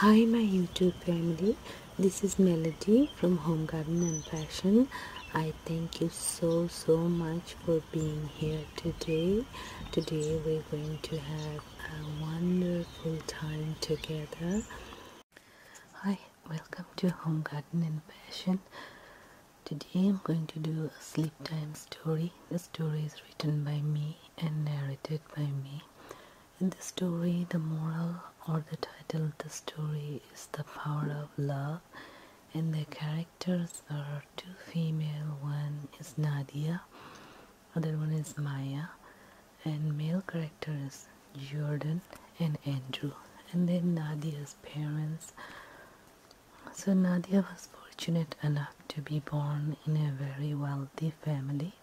Hi my YouTube family, this is Melody from Home Garden and Fashion. I thank you so so much for being here today. Today we're going to have a wonderful time together. Hi, welcome to Home Garden and Fashion. Today I'm going to do a sleep time story. The story is written by me and narrated by me. In the story, the moral or the title of the story is The Power of Love, and the characters are two female. One is Nadia, other one is Maya, and male characters Jordan and Andrew, and then Nadia's parents. So, Nadia was fortunate enough to be born in a very wealthy family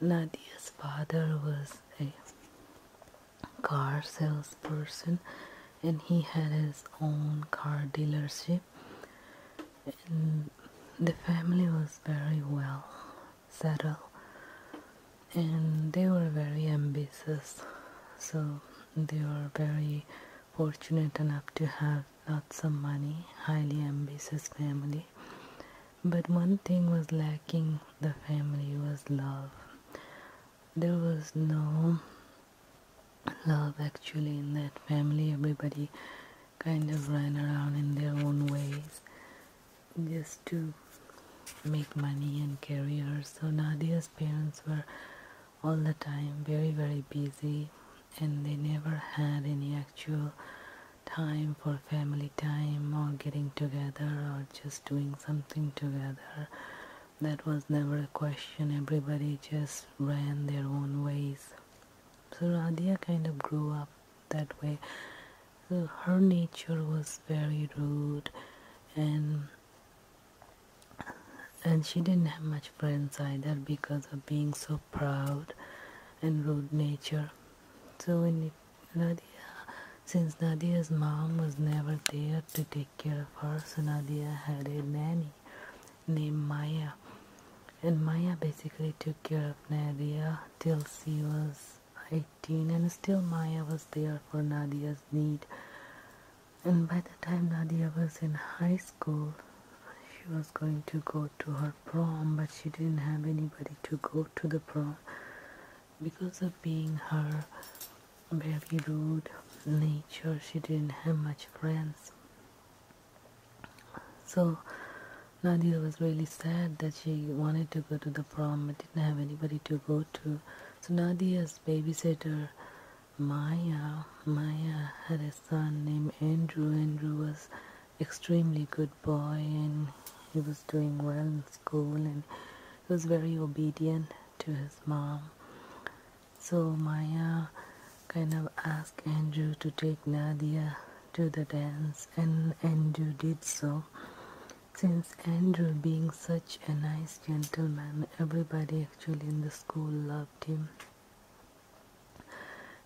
Nadia's father was a car salesperson and he had his own car dealership and the family was very well settled and they were very ambitious so they were very fortunate enough to have lots of money, highly ambitious family. But one thing was lacking the family was love. There was no love actually in that family. Everybody kind of ran around in their own ways just to make money and careers. So Nadia's parents were all the time very, very busy and they never had any actual time for family time or getting together or just doing something together. That was never a question, everybody just ran their own ways. So Radia kind of grew up that way. her nature was very rude and and she didn't have much friends either because of being so proud and rude nature. So in Nadia, since Nadia's mom was never there to take care of her, so Nadia had a nanny named Maya. And Maya basically took care of Nadia till she was 18 and still Maya was there for Nadia's need. And by the time Nadia was in high school, she was going to go to her prom but she didn't have anybody to go to the prom because of being her very rude nature she didn't have much friends so Nadia was really sad that she wanted to go to the prom but didn't have anybody to go to so Nadia's babysitter Maya Maya had a son named Andrew Andrew was extremely good boy and he was doing well in school and he was very obedient to his mom. So Maya kind of asked Andrew to take Nadia to the dance and Andrew did so. Since Andrew being such a nice gentleman, everybody actually in the school loved him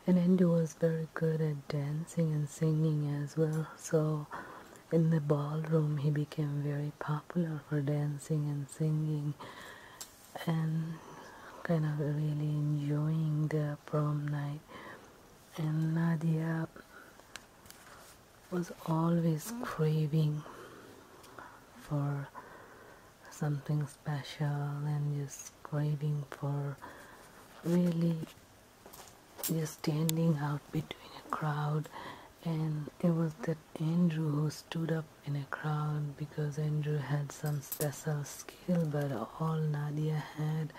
and Indu was very good at dancing and singing as well. So, in the ballroom, he became very popular for dancing and singing, and kind of really enjoying the prom night. And Nadia was always craving for something special and just craving for really just standing out between a crowd and it was that Andrew who stood up in a crowd because Andrew had some special skill but all Nadia had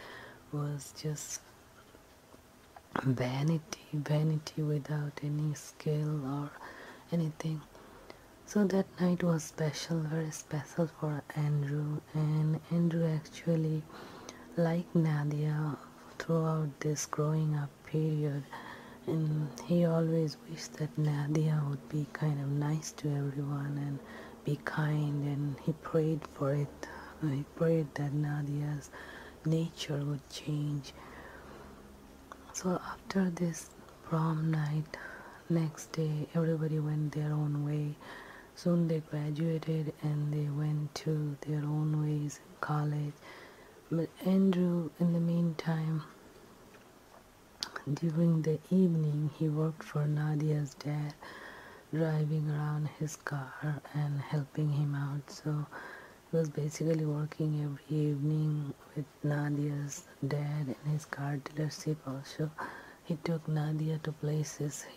was just vanity vanity without any skill or anything so that night was special, very special for Andrew, and Andrew actually, liked Nadia, throughout this growing up period, and he always wished that Nadia would be kind of nice to everyone and be kind, and he prayed for it. He prayed that Nadia's nature would change. So after this prom night next day everybody went their own way soon they graduated and they went to their own ways in college but andrew in the meantime during the evening he worked for nadia's dad driving around his car and helping him out so he was basically working every evening with Nadia's dad and his car dealership also. He took Nadia to places.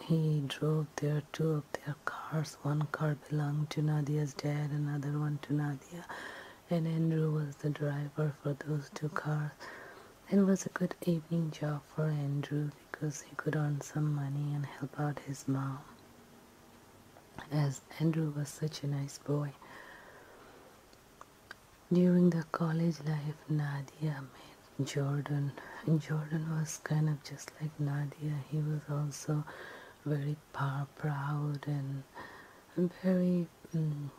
He drove there two their cars. One car belonged to Nadia's dad, another one to Nadia. And Andrew was the driver for those two cars. It was a good evening job for Andrew because he could earn some money and help out his mom. As Andrew was such a nice boy. During the college life, Nadia met Jordan. Jordan was kind of just like Nadia. He was also very proud and very um,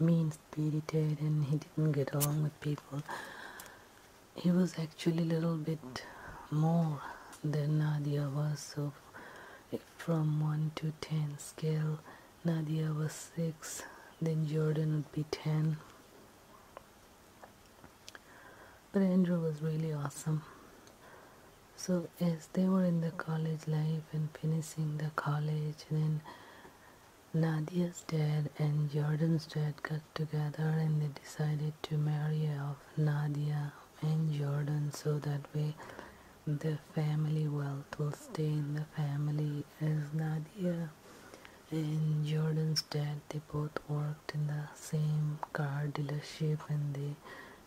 mean-spirited and he didn't get along with people. He was actually a little bit more than Nadia was. So from 1 to 10 scale, Nadia was 6, then Jordan would be 10. But Andrew was really awesome. So, as they were in the college life and finishing the college, then Nadia's dad and Jordan's dad got together and they decided to marry off Nadia and Jordan so that way the family wealth will stay in the family as Nadia and Jordan's dad they both worked in the same car dealership and they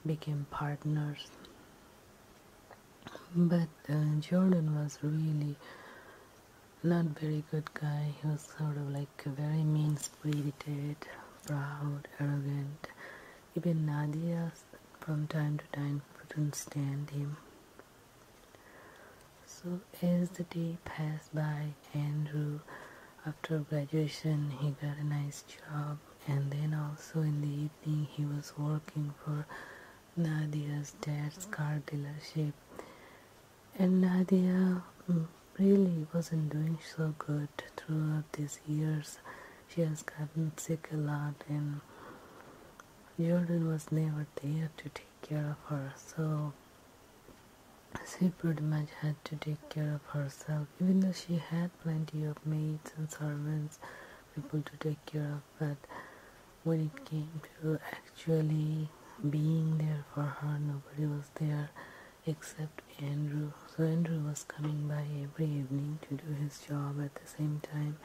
became partners but uh, Jordan was really not very good guy he was sort of like a very mean-spirited proud arrogant even Nadia from time to time couldn't stand him so, as the day passed by, Andrew, after graduation, he got a nice job, and then also in the evening, he was working for Nadia's dad's car dealership. And Nadia mm, really wasn't doing so good throughout these years. She has gotten sick a lot, and Jordan was never there to take care of her, so she pretty much had to take care of herself, even though she had plenty of maids and servants, people to take care of. But when it came to actually being there for her, nobody was there except Andrew. So Andrew was coming by every evening to do his job at the same time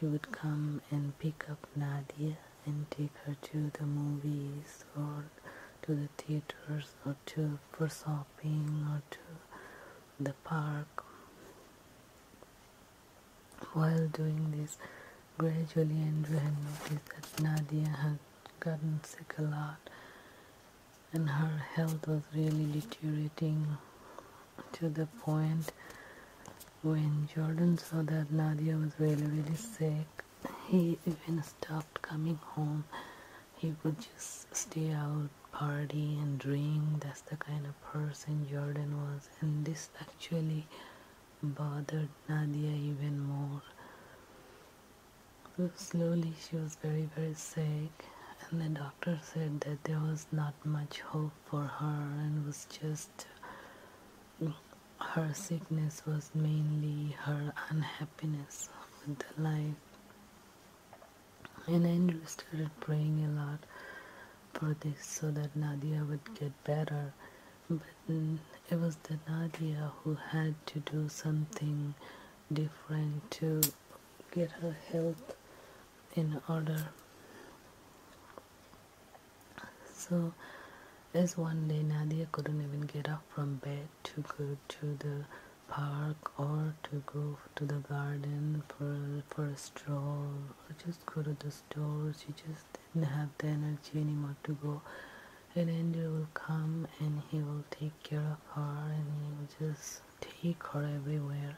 he would come and pick up Nadia and take her to the movies or to the theaters or to for shopping or to the park. While doing this, gradually Andrew had noticed that Nadia had gotten sick a lot and her health was really deteriorating to the point when Jordan saw that Nadia was really, really sick, he even stopped coming home. He would just stay out, party, and drink. That's the kind of person Jordan was, and this actually bothered Nadia even more. slowly, she was very, very sick, and the doctor said that there was not much hope for her and was just her sickness was mainly her unhappiness with the life and Andrew started praying a lot for this so that Nadia would get better but it was the Nadia who had to do something different to get her help in order so as one day Nadia couldn't even get up from bed to go to the park or to go to the garden for for a stroll or just go to the store she just didn't have the energy anymore to go and Andrew will come and he will take care of her and he will just take her everywhere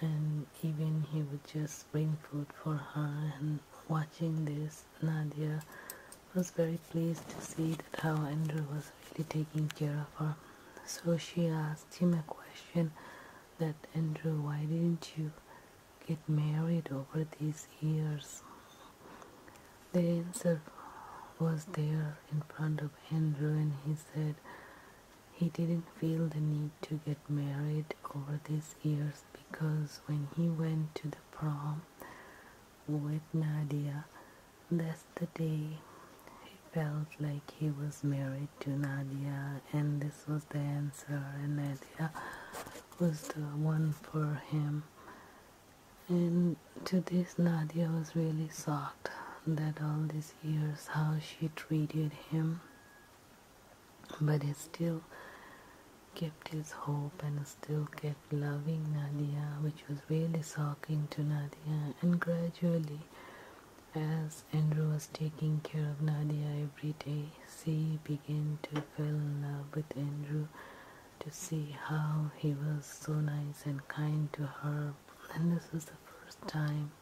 and even he would just bring food for her and watching this Nadia was very pleased to see that how Andrew was really taking care of her so she asked him a question that Andrew why didn't you get married over these years the answer was there in front of Andrew and he said he didn't feel the need to get married over these years because when he went to the prom with Nadia, that's the day he felt like he was married to Nadia and this was the answer and Nadia was the one for him. And to this Nadia was really sorry that all these years how she treated him, but he still kept his hope and still kept loving Nadia, which was really shocking to Nadia. And gradually, as Andrew was taking care of Nadia every day, she began to fell in love with Andrew to see how he was so nice and kind to her. And this was the first time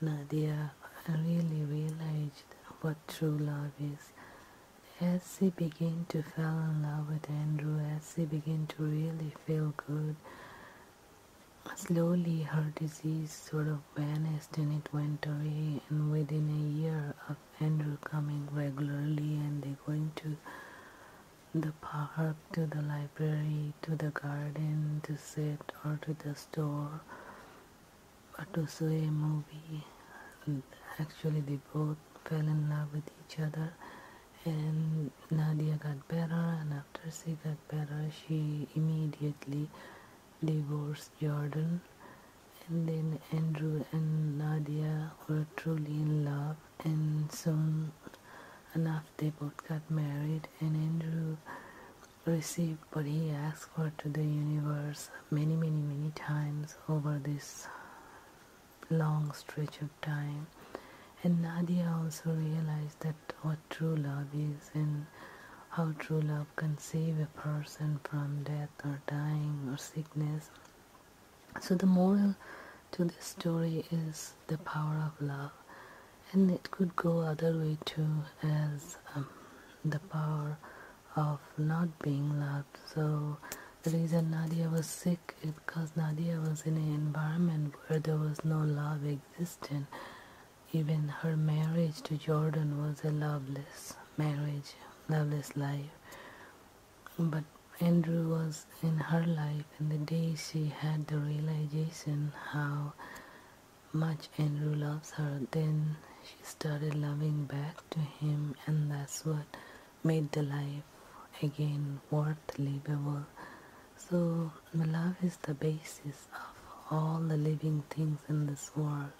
Nadia really realized what true love is. As she began to fall in love with Andrew, as she began to really feel good, slowly her disease sort of vanished and it went away. And within a year of Andrew coming regularly and they going to the park to the library to the garden, to sit or to the store, or to see a movie. And actually, they both fell in love with each other, and Nadia got better, and after she got better, she immediately divorced Jordan. And then Andrew and Nadia were truly in love, and soon enough they both got married, and Andrew received what he asked for to the universe many, many, many times over this long stretch of time. And Nadia also realized that what true love is and how true love can save a person from death or dying or sickness. So the moral to this story is the power of love and it could go other way too as um, the power of not being loved so the reason Nadia was sick is because Nadia was in an environment where there was no love existing even her marriage to Jordan was a loveless marriage loveless life but Andrew was in her life and the day she had the realization how much Andrew loves her. Then she started loving back to him, and that's what made the life again worth livable. So, love is the basis of all the living things in this world,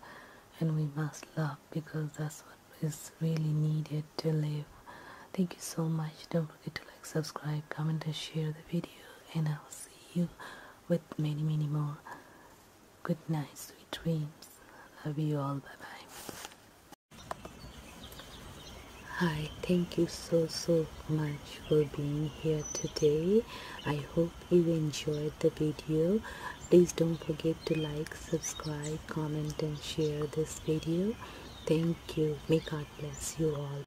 and we must love because that's what is really needed to live. Thank you so much. Don't forget to like, subscribe, comment, and share the video, and I will see see you with many, many more. Good night, sweet dreams. Love you all. Bye bye. Hi, thank you so, so much for being here today. I hope you enjoyed the video. Please don't forget to like, subscribe, comment and share this video. Thank you. May God bless you all.